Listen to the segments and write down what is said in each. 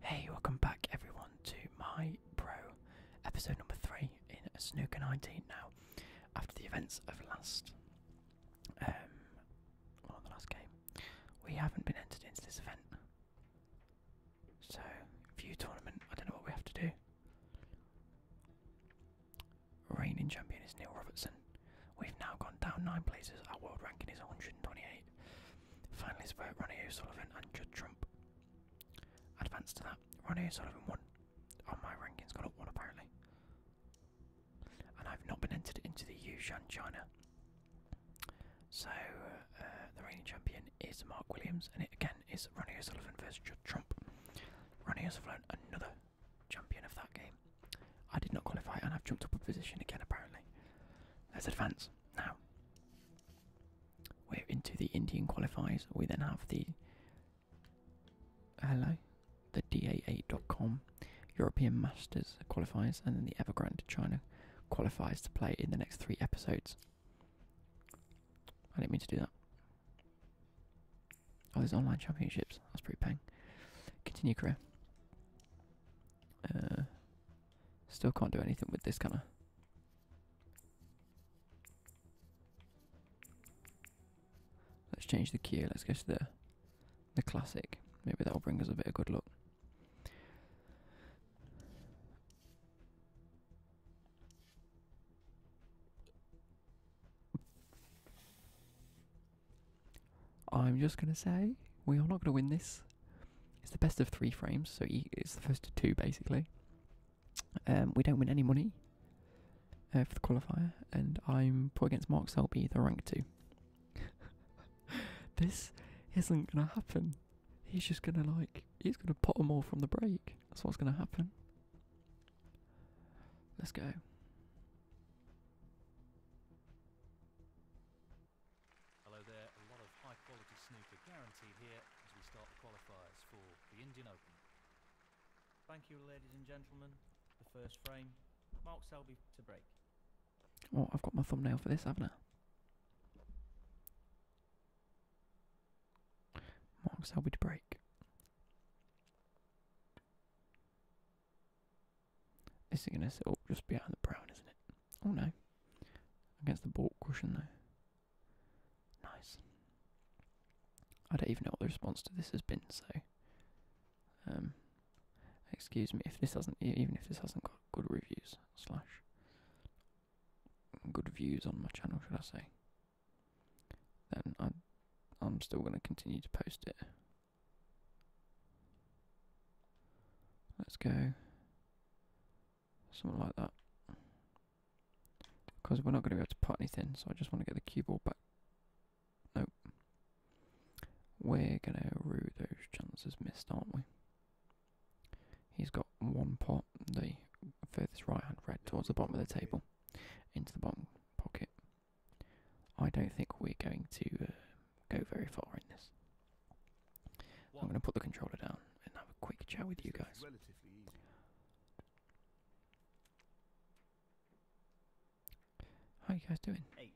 Hey, welcome back everyone to my pro episode number three in Snooker 19. Now, after the events of last, um, the last game, we haven't been entered into this event. So, view tournament. I don't know what we have to do. Reigning champion is Neil Robertson. We've now gone down nine places. Our world ranking is 128. Finally, it's vote Ronnie O'Sullivan and Judd Trump. Advance to that. Ronnie O'Sullivan won. On oh, my rankings got up one apparently. And I've not been entered into the Yushan China. So uh, the reigning champion is Mark Williams, and it again is Ronnie O'Sullivan versus Judd Trump. Ronnie O'Sullivan, another champion of that game. I did not qualify, and I've jumped up a position again apparently. Let's advance. Now, we're into the Indian qualifiers. We then have the hello, the DA8.com European Masters qualifiers, and then the Evergrande China qualifiers to play in the next three episodes. I didn't mean to do that. Oh, there's online championships. That's pretty pang. Continue career. Uh, Still can't do anything with this, kind of. Let's change the queue. Let's go to the the classic. Maybe that'll bring us a bit of good luck. I'm just going to say we are not going to win this. It's the best of three frames, so it's the first two basically. Um, we don't win any money uh, for the qualifier, and I'm put against Mark Selby, the rank two. this isn't going to happen. He's just going to like, he's going to pot them all from the break. That's what's going to happen. Let's go. Hello there, a lot of high quality snooker guaranteed here as we start the qualifiers for the Indian Open. Thank you, ladies and gentlemen. The first frame, Mark Selby to break. Oh, I've got my thumbnail for this, haven't I? Mark Selby to break. This is gonna sit oh, just behind the brown, isn't it? Oh no. Against the ball cushion though. Nice. I don't even know what the response to this has been, so um excuse me if this hasn't even if this hasn't got good reviews slash good views on my channel should I say then I I'm still gonna continue to post it. Let's go something like that. Because we're not going to be able to put anything, so I just want to get the cue ball back. Nope. We're going to rue those chances missed, aren't we? He's got one pot, the furthest right hand red towards the bottom of the table, into the bottom pocket. I don't think we're going to uh, go very far in this. I'm going to put the controller down and have a quick chat with you guys. How are you guys doing? Eight.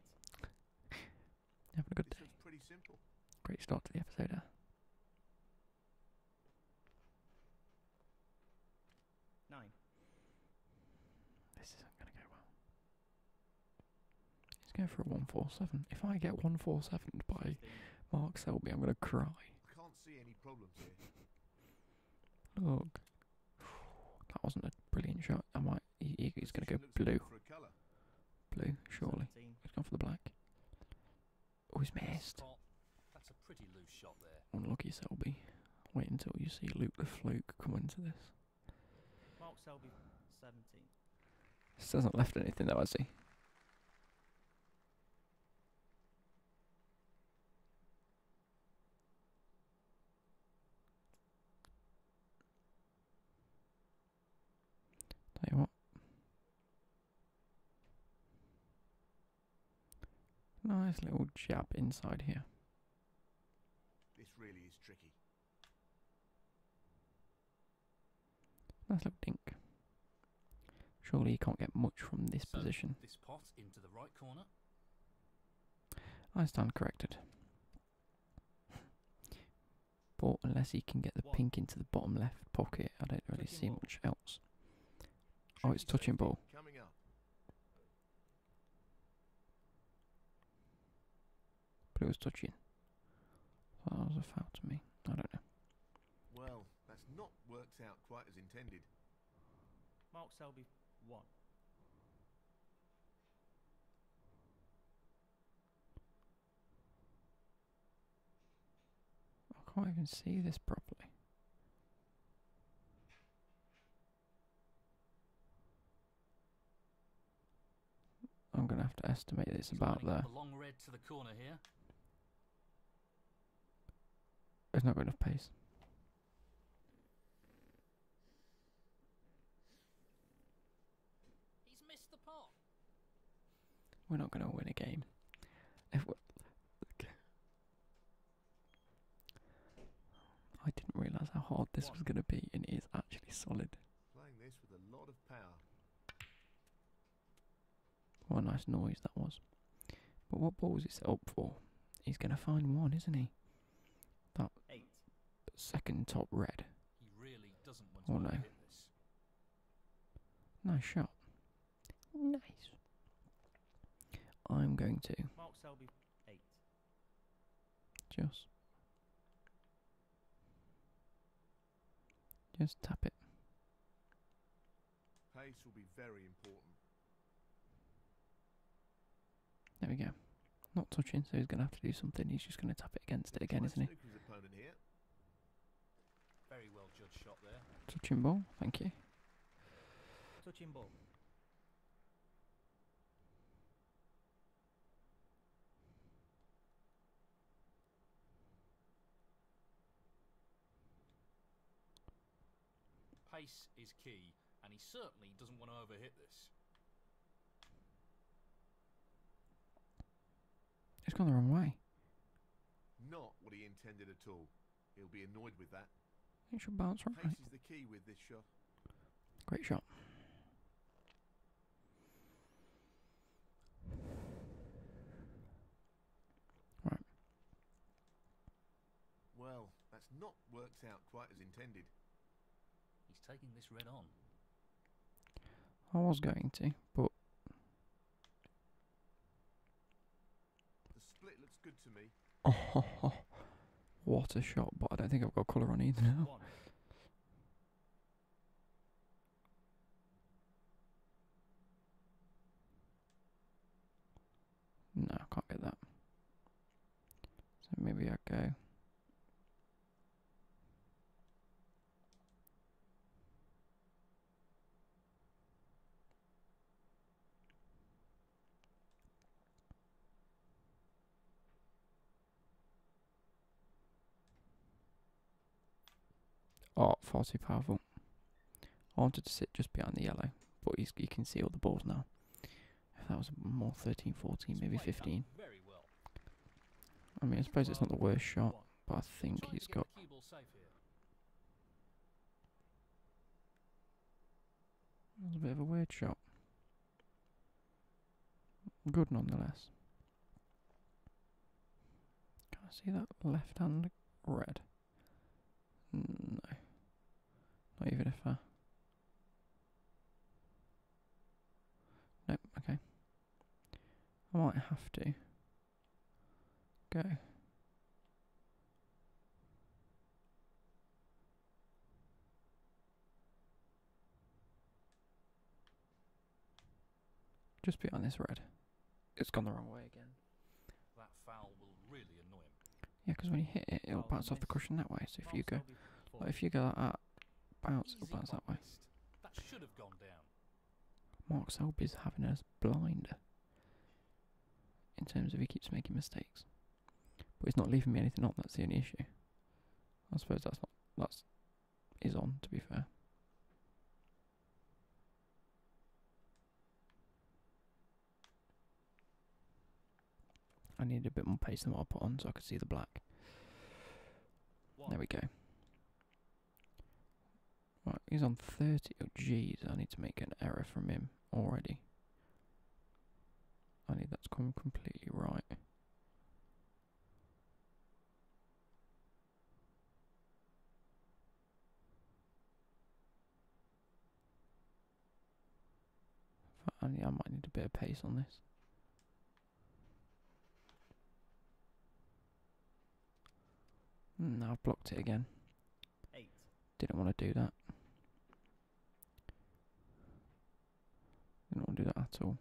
Having a good this day. Pretty simple. Great start to the episode. Nine. This isn't going to go well. He's going for a 147. If I get 147 by Mark Selby, I'm going to cry. Look. That wasn't a brilliant shot. I might. he's going to go blue. Blue, surely. 17. He's gone for the black. Oh, he's missed. That's a pretty loose shot there. Unlucky Selby. Wait until you see Luke the Fluke come into this. Mark Selby, 17. Still hasn't left anything though, does he? Tell you what. Nice little jab inside here. This really is tricky. Nice little dink. Surely you can't get much from this position. I stand corrected. but unless he can get the pink into the bottom left pocket, I don't really see much else. oh, it's touching ball. But it was touching. That was a foul to me. I don't know. Well, that's not worked out quite as intended. Mark Selby, one. I can't even see this properly. I'm gonna have to estimate it's about there. There's not enough pace. We're not gonna win a game. I didn't realise how hard this was gonna be, and it is actually solid. Playing this with a lot of power. What a nice noise that was. But what ball was he set up for? He's going to find one, isn't he? That second top red. oh no. Nice shot. Nice. I'm going to. Mark Selby, eight. Just just tap it. Pace will be very important. There we go. Not touching, so he's going to have to do something. He's just going to tap it against it again, isn't he? Touching ball, thank you. Touching ball. Pace is key, and he certainly doesn't want to overhit this. it has gone the wrong way. Not what he intended at all. He'll be annoyed with that. should bounce right. Pace is the key with this shot. Great shot. Well, that's not worked out quite as intended. He's taking this red on. I was going to, but the split looks good to me. Oh, what a shot! But I don't think I've got colour on either no, I can't get that. So maybe I go. Oh, far too powerful. I wanted to sit just behind the yellow, but you can see all the balls now. If that was more 13, 14, maybe 15. I mean, I suppose it's not the worst shot, but I think he's got... a bit of a weird shot. Good nonetheless. Can I see that left hand red? No. Not even if I. Nope, okay. I might have to go. Just behind this red. It's gone the wrong way again. That Yeah, because when you hit it, it'll bounce off the cushion that way. So if you go, if you go like that, bounce, it'll bounce that way. That should have Mark Selby's having a blinder In terms of he keeps making mistakes, but he's not leaving me anything on. That's the only issue. I suppose that's not that's is on, to be fair. I need a bit more paste than what I put on so I can see the black. There we go. Right, he's on 30. Oh, jeez, I need to make an error from him already. I need that to completely right. I might need a bit of pace on this. Mm, I've blocked it again. did Didn't want to do that. Didn't want to do that at all.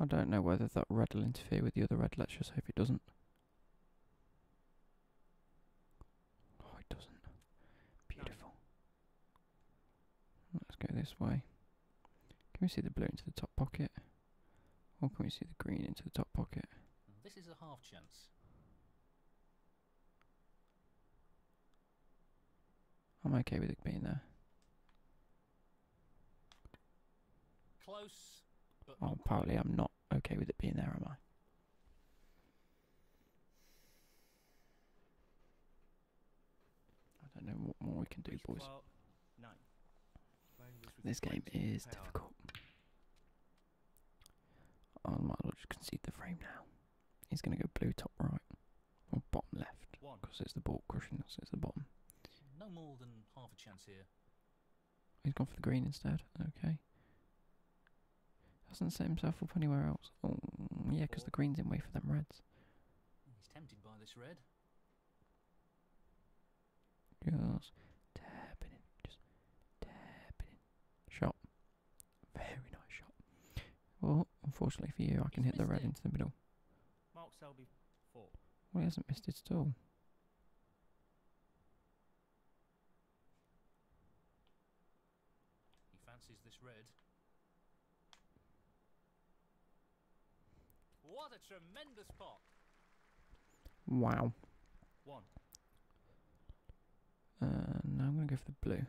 I don't know whether that red will interfere with the other red. Let's just hope it doesn't. Oh, it doesn't. Beautiful. Let's go this way. Can we see the blue into the top pocket? Or can we see the green into the top pocket? This is a half chance. I'm okay with it being there. Close. oh, apparently I'm not okay with it being there, am I? I don't know what more we can do, boys. This game is difficult. I might as well just concede the frame now. He's going to go blue top right or bottom left because it's the ball crushing So It's the bottom. No more than half a chance here. He's gone for the green instead. Okay. Hasn't set himself up anywhere else. Oh, yeah, because the green's in way for them reds. He's tempted by this red. Just tap it in. Just tap it in. Shot. Very nice shot. Well, unfortunately for you, I can hit the red into the middle. Mark Selby four. Well, he hasn't missed it at all. He fancies this red. What a tremendous pot! Wow. One. Uh, now I'm going to go for the blue.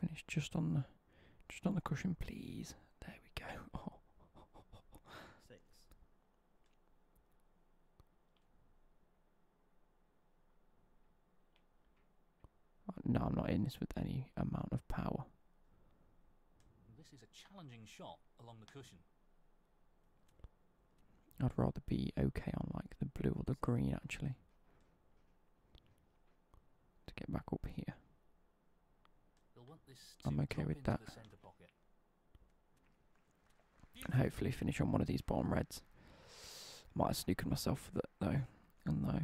Finish just on the just on the cushion, please. There we go. Six. No, I'm not in this with any amount of power. This is a challenging shot along the cushion. I'd rather be okay on like the blue or the green actually. To get back up here. I'm okay with that target. Hopefully finish on one of these bottom reds. Might have snookered myself with it though. And though,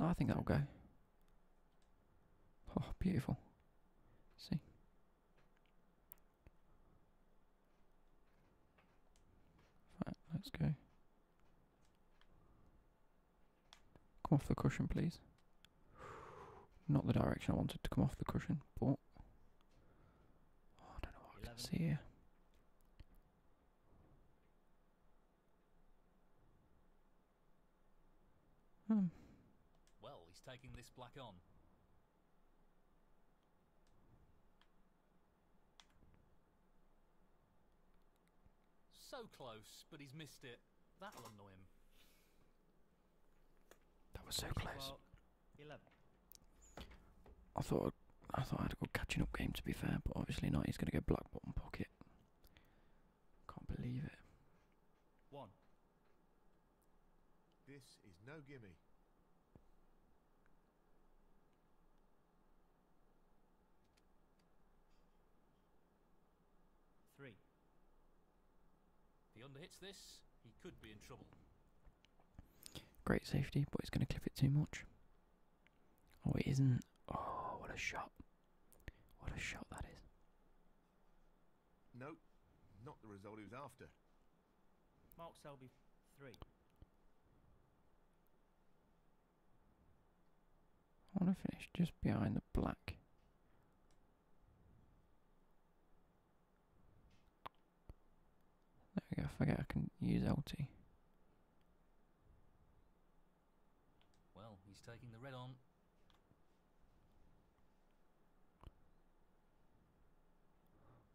No, I think that'll go. Oh, beautiful. See? Right, let's go. Come off the cushion, please. Not the direction I wanted to come off the cushion, but I don't know what I can see here. Hmm. Well, he's taking this black on. So close, but he's missed it. That'll annoy him. That was so close. I thought i I thought I had a good catching up game to be fair, but obviously not. He's going to go black bottom pocket. Can't believe it. One. This is no gimme. Three he underhits this, he could be in trouble. Great safety, but he's going to clip it too much. Oh, it isn't. Oh, what a shot. What a shot that is. Nope, not the result he was after. Mark Selby, three. I want to finish just behind the black. There we go, I forget I can use LT. Well, he's taking the red on.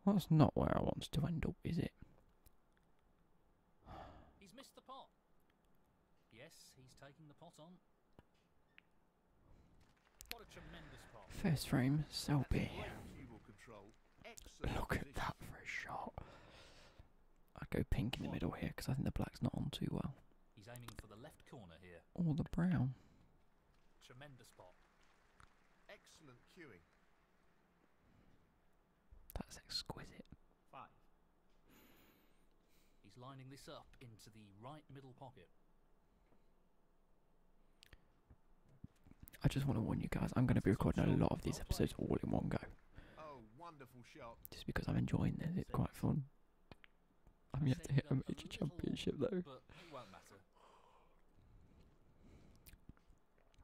that's not where I want to end up, is it? He's missed the pot. Yes, he's taking the pot on. First frame, so be. Look at that for a shot. I'd go pink in the middle here because I think the black's not on too well. Or the brown. Tremendous spot. Excellent cueing. That's exquisite. He's lining this up into the right middle pocket. I just want to warn you guys, I'm going to be recording a lot of these episodes all in one go. Just because I'm enjoying this, it's quite fun. I'm yet to hit a major championship though.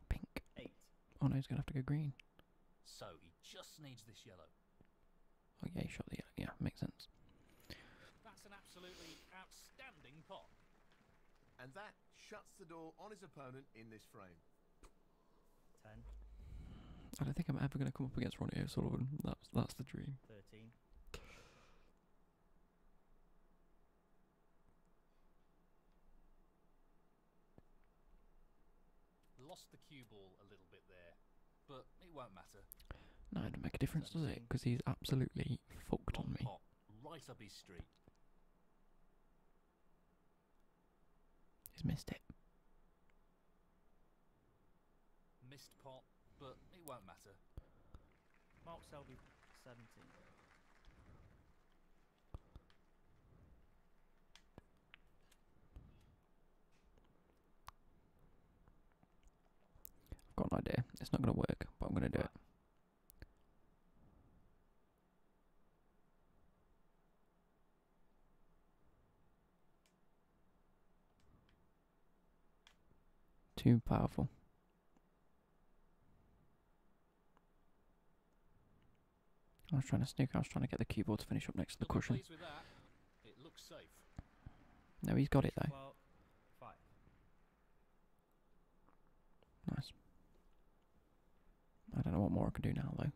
Pink. Oh no, he's going to have to go green. So he just needs this yellow. Oh yeah, he shot the yellow. Yeah, makes sense. That's an absolutely outstanding pot. And that shuts the door on his opponent in this frame. Ten. I don't think I'm ever going to come up against Ronnie O'Sullivan. That's that's the dream. Thirteen. Lost the cue ball a little bit there but it won't matter. No, it doesn't make a difference, does it? Because he's absolutely fucked on me. Right up his street. He's missed it. Missed pot, but it won't matter. Mark Selby, 17. I've got an idea. It's not going to work, but I'm going to do it. Too powerful. I was trying to sneak. I was trying to get the keyboard to finish up next to the cushion. No, he's got it though. Five. Nice. I don't know what more I can do now, though.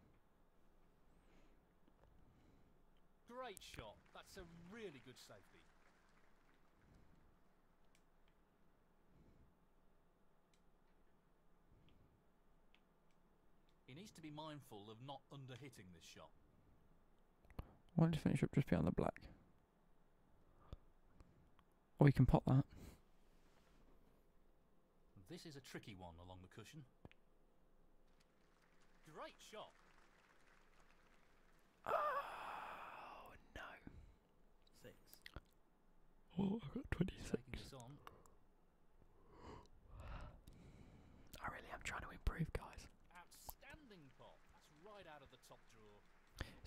Great shot. That's a really good safety. He needs to be mindful of not underhitting this shot. Why don't you finish up just behind the black? Or you can pop that. This is a tricky one along the cushion. Great shot. Oh no. Six. Oh, I got twenty-six. I really am trying to improve, guys. Outstanding pop.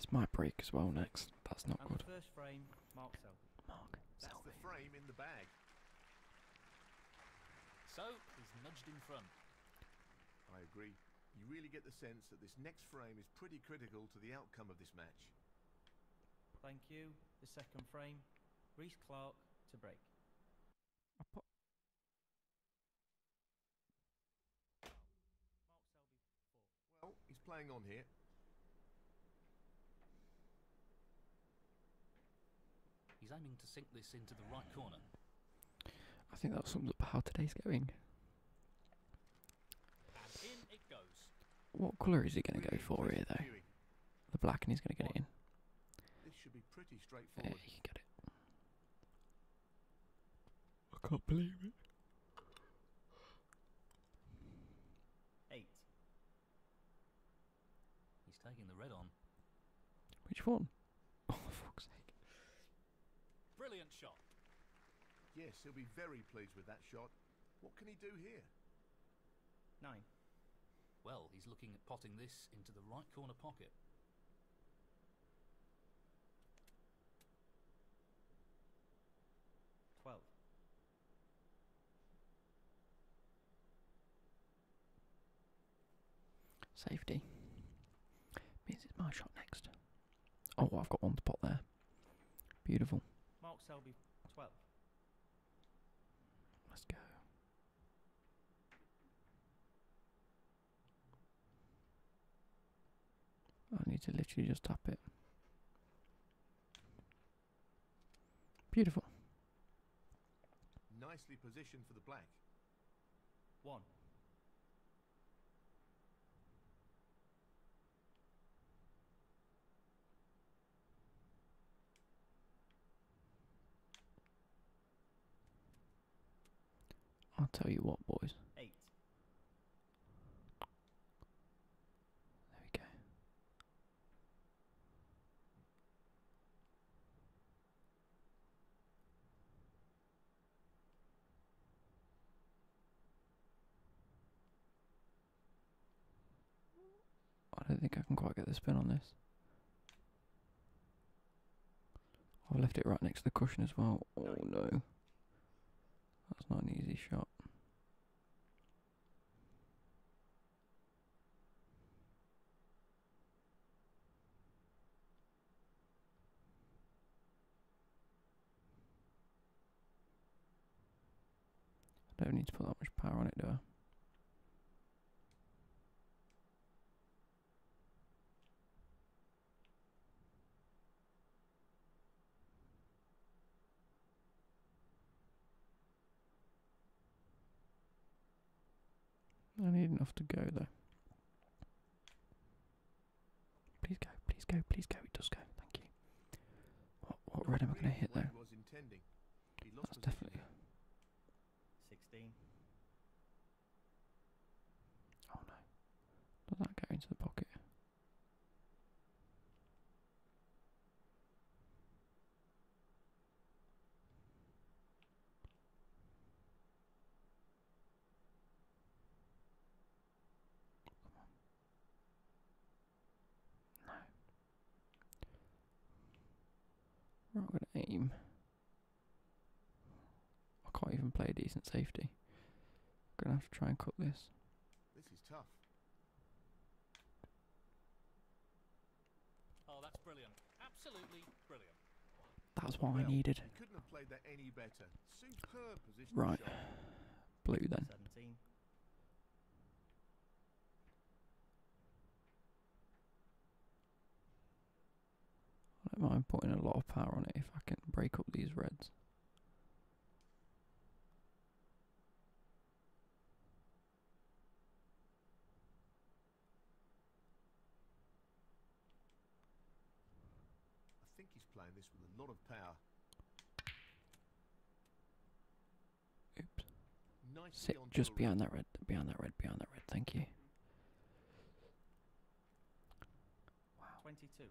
It might break as well next. That's not good. first frame, Mark Selby. Mark That's the frame in the bag. So, he's nudged in front. I agree. You really get the sense that this next frame is pretty critical to the outcome of this match. Thank you. The second frame, Reese Clark to break. Well, he's playing on here. He's aiming to sink this into the right corner. I think that sums up how today's going. What colour is he going to go for here, though? The black, and he's going to get it in. This should be pretty straightforward. Yeah, he can it. I can't believe it. Eight. He's taking the red on. Which one? Oh, for fuck's sake. Brilliant shot. Yes, he'll be very pleased with that shot. What can he do here? Nine. Well, he's looking at potting this into the right corner pocket. 12. Safety. Means it's my shot next. Oh, I've got one to pot there. Beautiful. Mark Selby, 12. Let's go. I need to literally just tap it. Beautiful. Nicely positioned for the black. One. I'll tell you what, boys. Eight. There we go. I don't think I can quite get the spin on this. I've left it right next to the cushion as well. Oh no. That's not an easy shot. I don't need to put that much power on it, do I? I need enough to go though. Please go, please go, please go. It does go. Thank you. What what red am I going to hit though? That's definitely. Sixteen. Oh no. Does that get into the pocket? Come on. No. we aim I can't even play a decent safety. Gonna have to try and cut this. This is tough. Oh, that's brilliant. Absolutely brilliant. That's what I needed. Couldn't have played that any better. Superb right. Blue then. 17. I don't mind putting a lot of power on it if I can break up these reds. I think he's playing this with a lot of power. Oops. just behind that red, behind that red, behind that red. Thank you. Wow. 22.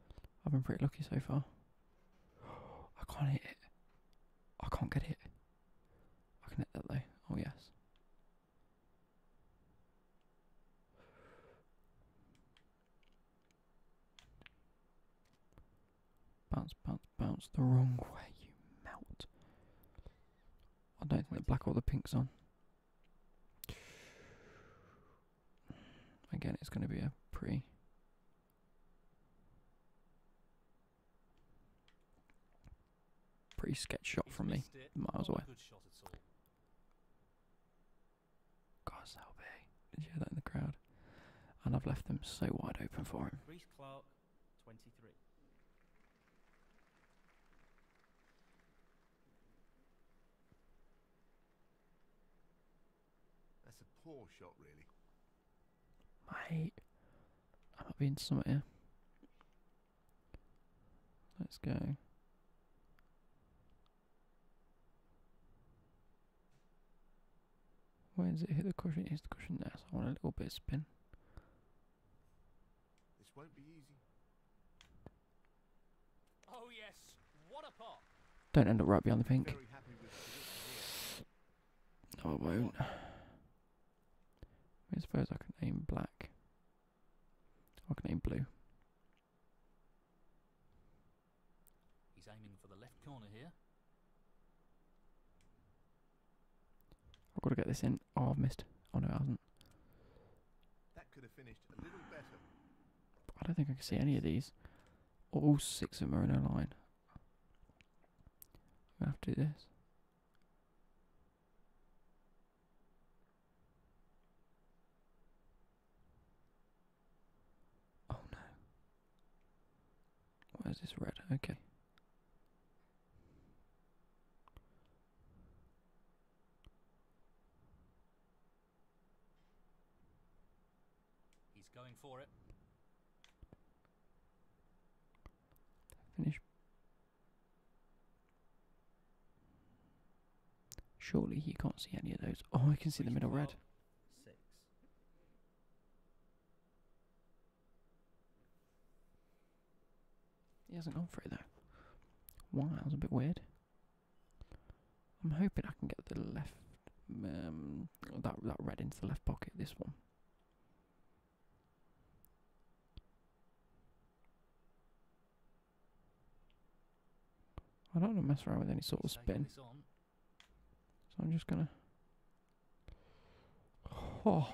I've been pretty lucky so far. I can't hit it. I can't get it. I can hit that though. Oh, yes. Bounce, bounce, bounce the wrong way, you melt. I don't think the black or the pink's on again, it's going to be a pre. Pretty sketch shot from me, miles oh, away. God, so big. Did you hear that in the crowd? And I've left them so wide open for him. That's a poor shot, really. Mate, I'm up being somewhere Let's go. Where does it hit the cushion? It's the cushion there, I want a little bit of spin. This won't be easy. Oh yes, Don't end up right behind the pink. No, I won't. I suppose I can aim black. I can aim blue. He's aiming for the left corner here. I've got to get this in. Oh, I've missed. Oh no, I haven't. That could have finished a little better. I don't think I can see any of these. All oh, six of them are in a line. I'm going to have to do this. Oh no. Why this red? Okay. He's going for it. Finish. Surely you can't see any of those. Oh, I can see the middle red. Six. He hasn't gone through though. Why? that was a bit weird. I'm hoping I can get the left, um, that that red into the left pocket. This one. I don't want to mess around with any sort of spin, so I'm just gonna. Oh.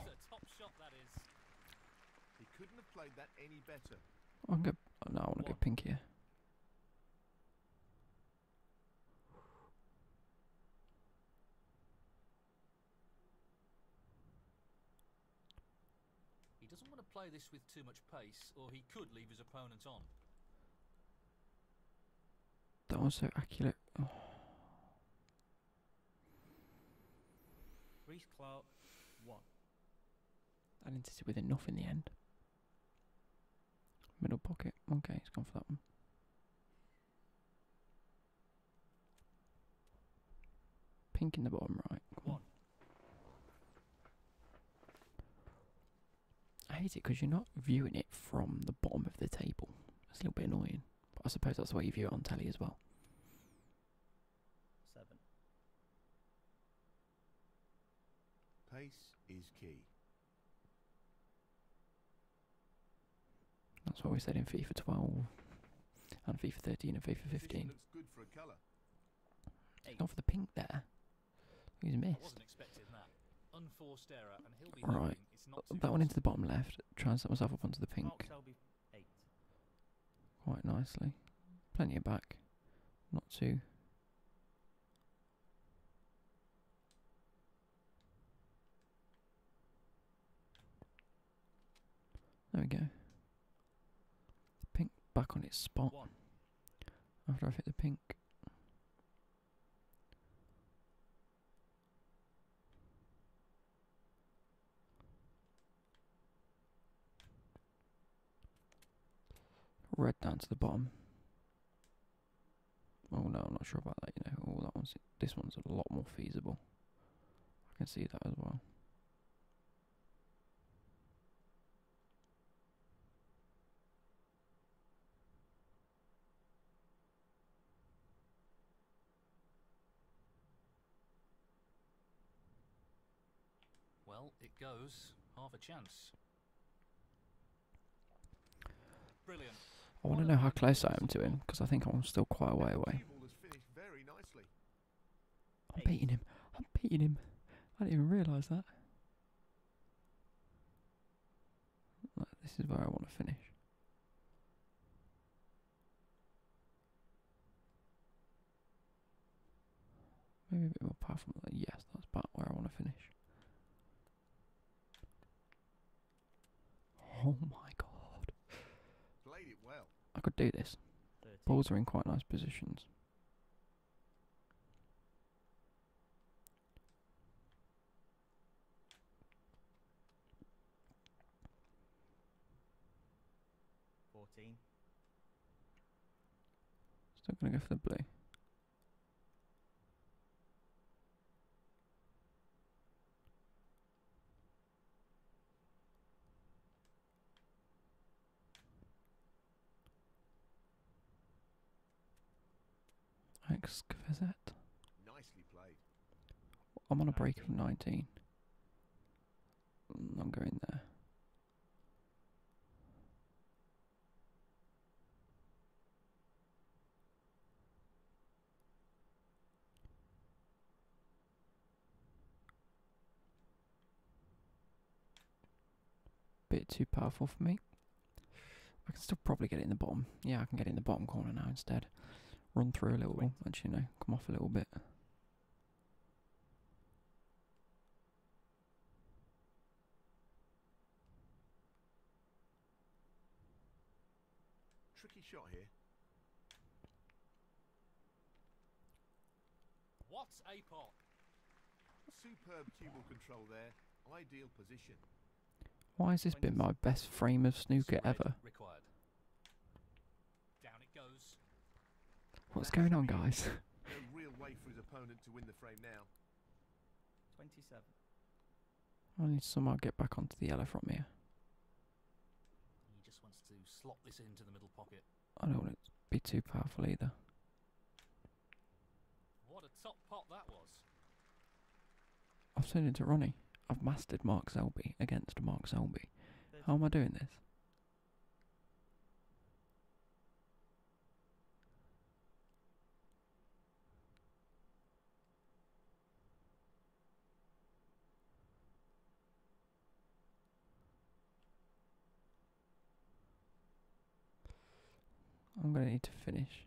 I can get. Oh, no, I want to go pink here. He doesn't want to play this with too much pace, or he could leave his opponent on. That was so accurate. Oh. Clark, one. I insisted with enough in the end. Middle pocket. Okay, it's gone for that one. Pink in the bottom right. Come on. I hate it because you're not viewing it from the bottom of the table. It's a little bit annoying. But I suppose that's why you view it on telly as well. Seven. Pace is key. That's what we said in FIFA 12 and FIFA 13 and FIFA 15. For Not for the pink there. He's missed. Error, right. That one into the bottom left. Try and set myself up onto the pink. Quite nicely. Plenty of back not to. There we go. pink back on its spot. After I've hit the pink. Right down to the bottom. Oh no, I'm not sure about that. You know, oh, this one's a lot more feasible. I can see that as well. Well, it goes half a chance. Brilliant. I want to know how close I am to him because I think I'm still quite a way away. I'm beating him. I'm beating him. I didn't even realise that. this is where I want to finish. Maybe a bit more powerful. Yes, that's about where I want to finish. Oh my god. Played it well. I could do this. Balls are in quite nice positions. Fourteen. Still gonna go for the blue. Excavazette. Nicely played. I'm on a break of 19. I'm going there. Bit too powerful for me. I can still probably get it in the bottom. Yeah, I can get in the bottom corner now instead. Run through a little. Wait. Actually, no, come off a little bit. Tricky shot here. What a pot! Superb cubal control there. Ideal position. Why has this been my best frame of snooker ever? Down it goes. What's going on, guys? 27. I need to somehow get back onto the yellow from here. I don't want to be too powerful either. I've turned into Ronnie. I've mastered Mark Selby against Mark Selby. How am I doing this? I'm going to need to finish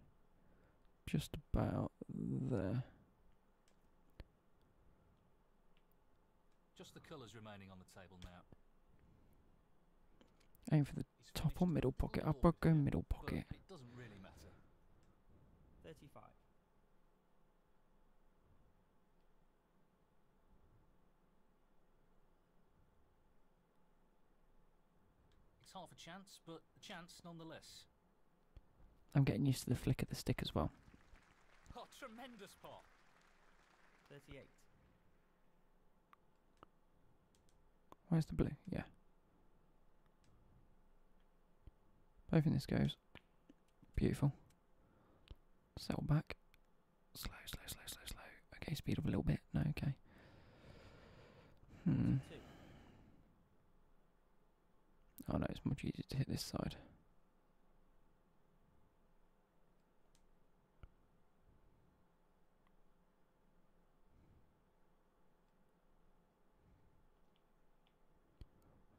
just about there. Just the colours remaining on the table now. Aim for the top or middle pocket. I'll go middle pocket. 35. It's half a chance, but a chance nonetheless. I'm getting used to the flick of the stick as well. Oh, tremendous pot. 38. Where's the blue? Yeah. Both in this goes. Beautiful. Settle back. Slow, slow, slow, slow, slow. Okay, speed up a little bit. No, okay. Hmm. Oh no, it's much easier to hit this side.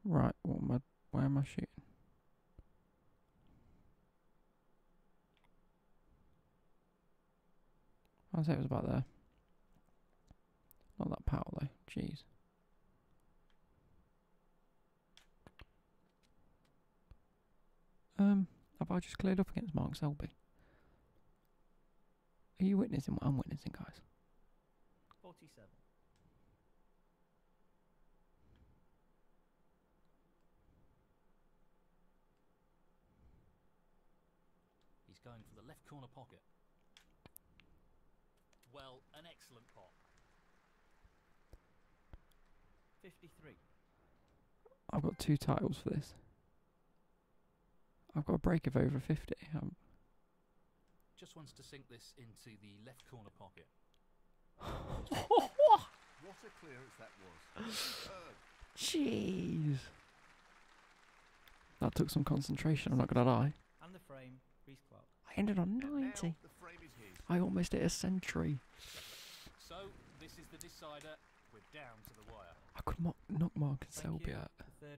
Right, what am I, where am I shooting? I'd say it was about there. Not that power though, jeez. Um, have I just cleared up against Mark Selby? Are you witnessing what I'm witnessing, guys? 47. He's going for the left corner pocket. Well, an excellent pot. 53. I've got two titles for this. I've got a break of over 50. Um, Just wants to sink this into the left corner pocket. what a clearance that was. Jeez. That took some concentration, I'm not going to lie. And the frame, I ended on 90. I almost hit a century. So this is the decider. We're down to the wire. I could knock Mark and Thank Selby you. out. The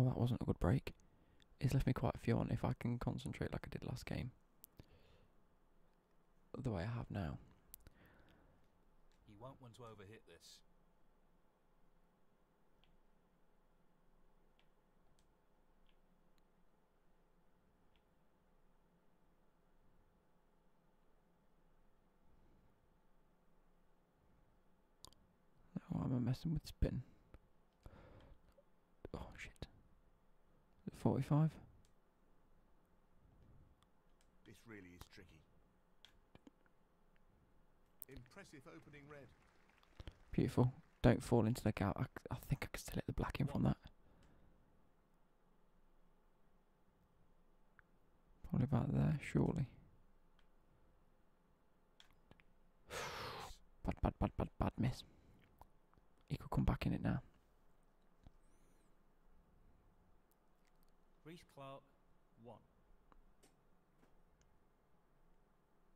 Oh, that wasn't a good break. It's left me quite a few on if I can concentrate like I did last game. The way I have now. You won't want to overhit this. Now oh, I'm messing with spin. Oh shit. 45? This really is tricky. Impressive opening red. Beautiful. Don't fall into the gap. I, think I can still hit the black in from that. Probably about there, surely. bad, bad, bad, bad, bad miss. He could come back in it now. Reese Clark, one.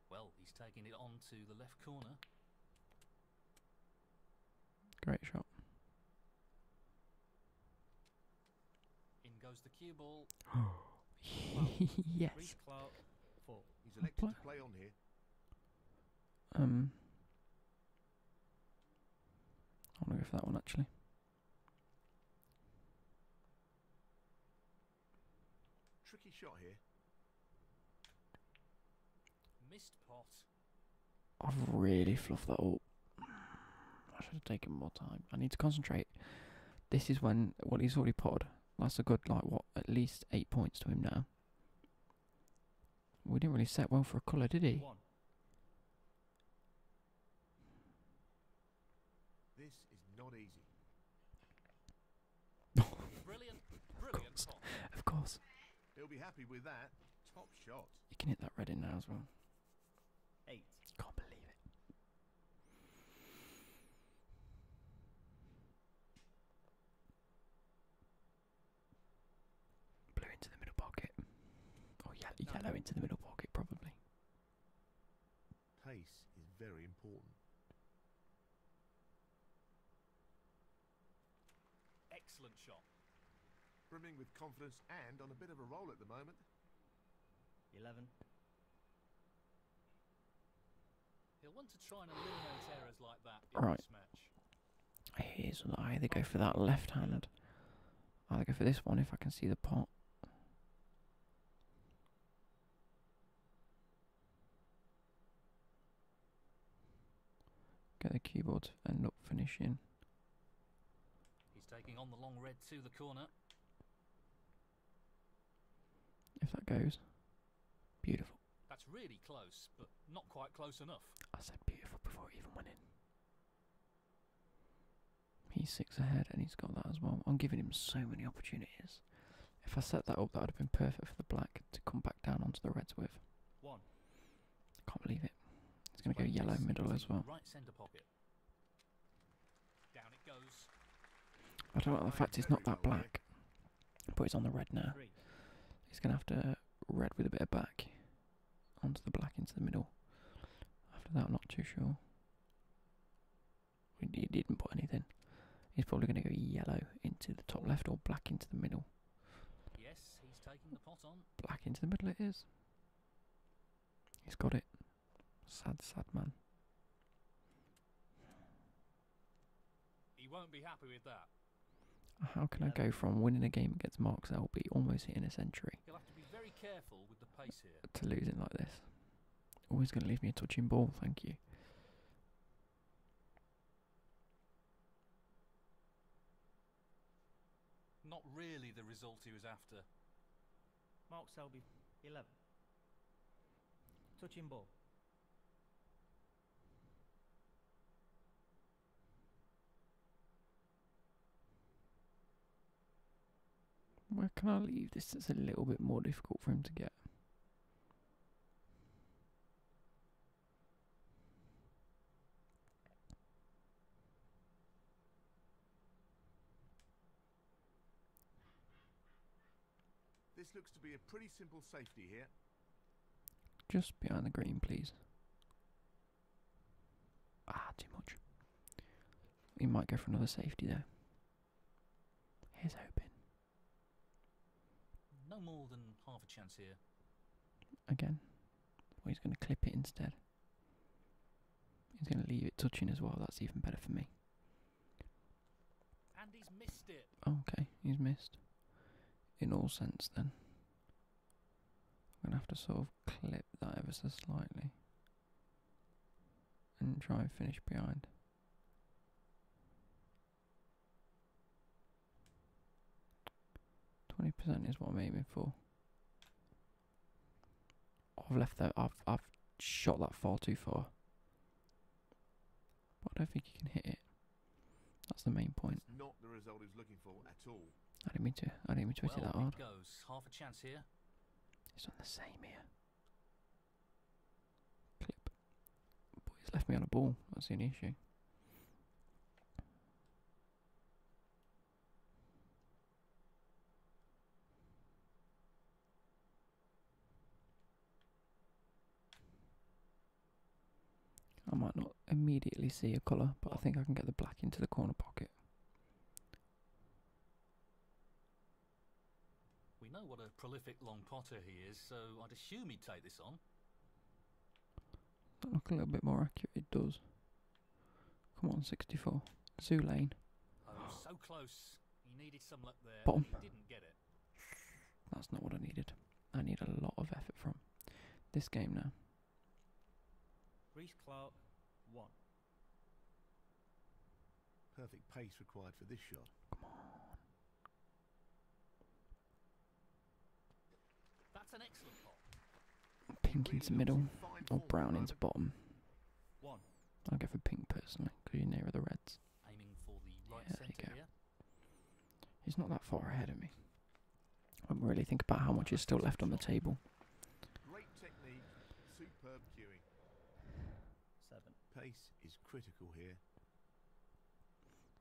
Well, he's taking it on to the left corner. Great shot. In goes the cue ball. yes. Um, I want to go for that one actually. Tricky shot here. I've really fluffed that up. I should have taken more time. I need to concentrate. This is when well he's already pod. That's a good like what at least eight points to him now. We didn't really set well for a colour, did he? This is not easy of course. Of course. You can hit that red in now as well. Eight. Can't believe it. Blue into the middle pocket. Or oh, ye yellow into the middle pocket, probably. Pace is very important. Excellent shot. Brimming with confidence and on a bit of a roll at the moment. 11. right. this match. Here's I either go for that left hand. either go for this one if I can see the pot. Get the keyboard and not finish in. He's taking on the long red to the corner. If that goes, beautiful. That's really close, but not quite close enough. I said beautiful before he even went in. He's six ahead and he's got that as well. I'm giving him so many opportunities. If I set that up, that would have been perfect for the black to come back down onto the reds with. One. Can't believe it. It's going to go yellow middle as well. Right center pocket. Down it goes. I don't like the fact it's not that black, but it's on the red now. It's going to have to uh, red with a bit of back onto the black into the middle. After that, I'm not too sure. He didn't put anything. He's probably going to go yellow into the top left or black into the middle. Yes, he's taking the pot on. Black into the middle it is. He's got it. Sad, sad man. He won't be happy with that. How can I go from winning a game against Mark Selby, almost in a century, to losing like this? Always going to leave me a touching ball, thank you. Not really the result he was after. Mark Selby, 11. Touching ball. Where can I leave this It's a little bit more difficult for him to get? This looks to be a pretty simple safety here. Just behind the green, please. Ah, too much. We might go for another safety there. Here's hoping. No more than half a chance here. Again. Well, he's going to clip it instead. He's going to leave it touching as well. That's even better for me. And he's missed it. Okay, he's missed. In all sense, then. I'm going to have to sort of clip that ever so slightly. And try and finish behind. Twenty percent is what I'm aiming for. I've left that. I've I've shot that far too far. I don't think you can hit it. That's the main point. I didn't mean to. I didn't mean to hit it that hard. It goes. Half a chance here. It's not the same here. Clip. Boy, he's left me on a ball. That's the only issue. I might not immediately see a colour, but I think I can get the black into the corner pocket. We know what a prolific long potter he is, so I'd assume he'd take this on. That look a little bit more accurate. It does. Come on, 64. Zoo oh, so close. You needed some luck there. didn't get it. That's not what I needed. I need a lot of effort from this game now. Reese Clark, one. Perfect pace required for this shot. Come on. That's an excellent Pink into middle or brown into bottom. I'll go for pink personally, because you know nearer the reds. yeah, there you go. He's not that far ahead of me. I really think about how much is still left on the table. Pace is critical here.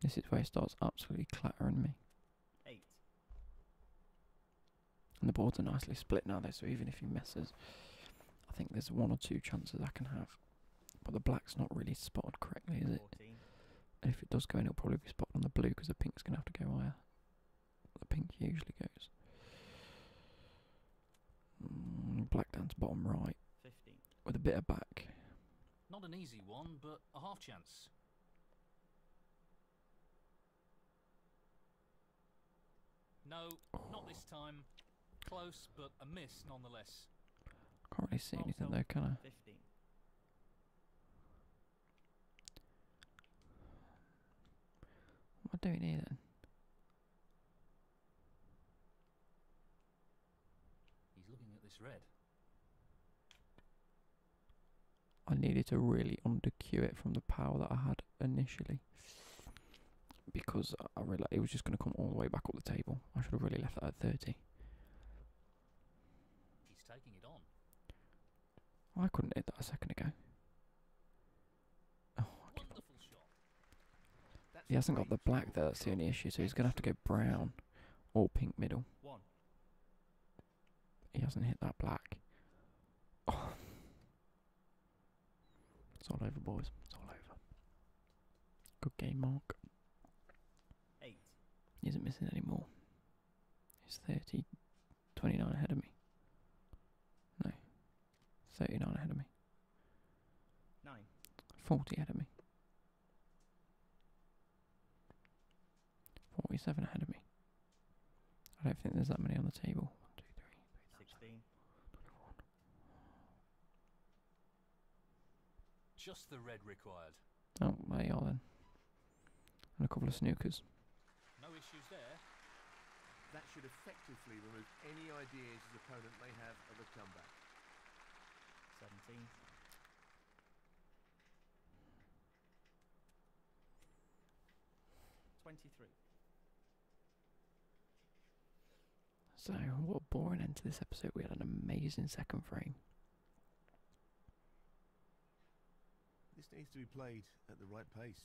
This is where it starts absolutely clattering me. Eight. And the boards are nicely split now, though, so even if he messes, I think there's one or two chances I can have. But the black's not really spotted correctly, is it? And if it does go in, it'll probably be spotted on the blue because the pink's going to have to go higher. The pink usually goes. Mm, black down to bottom right. 15. With a bit of back. Not an easy one, but a half chance. No, not this time. Close, but a miss nonetheless. Can't really see anything there, can I? What do we need then? He's looking at this red. I needed to really undercue it from the power that I had initially because I realized it was just going to come all the way back up the table. I should have really left that at 30. He's taking it on. I couldn't hit that a second ago. Oh, I he hasn't got the black there, that's the only issue, so he's going to have to go brown. Or pink middle. One. He hasn't hit that black. It's all over, boys. It's all over. Good game, Mark. Eight. He isn't missing any more. He's 30, 29 ahead of me. No. 39 ahead of me. Nine. 40 ahead of me. Forty-seven ahead of me. I don't think there's that many on the table. One, two, three, three, sixteen. Just the red required. Oh, my, you then. And a couple of snookers. No issues there. That should effectively remove any ideas his opponent may have of a comeback. 17. 23. So, what a boring end to this episode. We had an amazing second frame. This needs to be played at the right pace.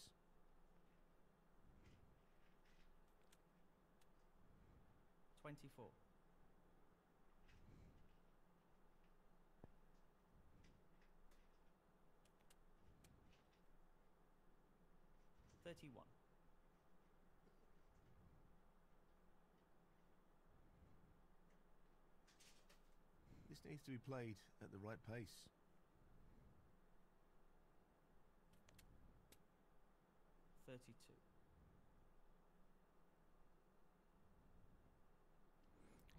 Twenty-four. 31. This needs to be played at the right pace. 32.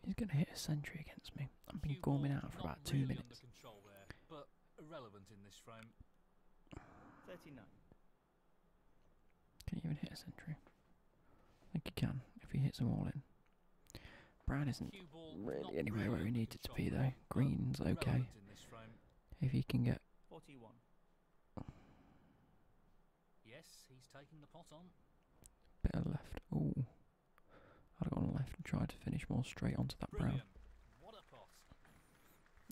He's going to hit a century against me. I've been gorming out for about two minutes. 39. Can he even hit a century? I think he can, if he hits them all in. Brown isn't really anywhere where he needed to be though. Green's okay. If he can get... Yes, he's taking the pot on. Bit of left. Ooh. I'd have gone left and tried to finish more straight onto that brown.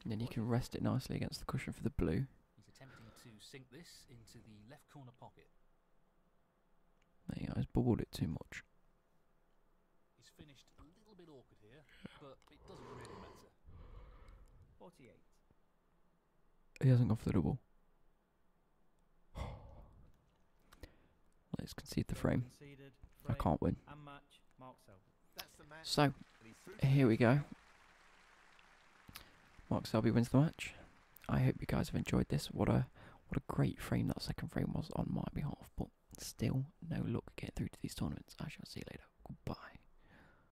then you can rest it nicely against the cushion for the blue. He's attempting to sink this into the left corner pocket. There you go, he's bobbled it too much. He's finished a little bit awkward here, but it doesn't really matter. 48. He hasn't gone for the double. Let's concede the frame. I can't win. So, here we go. Mark Selby wins the match. I hope you guys have enjoyed this. What a what a great frame that second frame was on my behalf, but still no luck getting through to these tournaments. I shall see you later. Goodbye.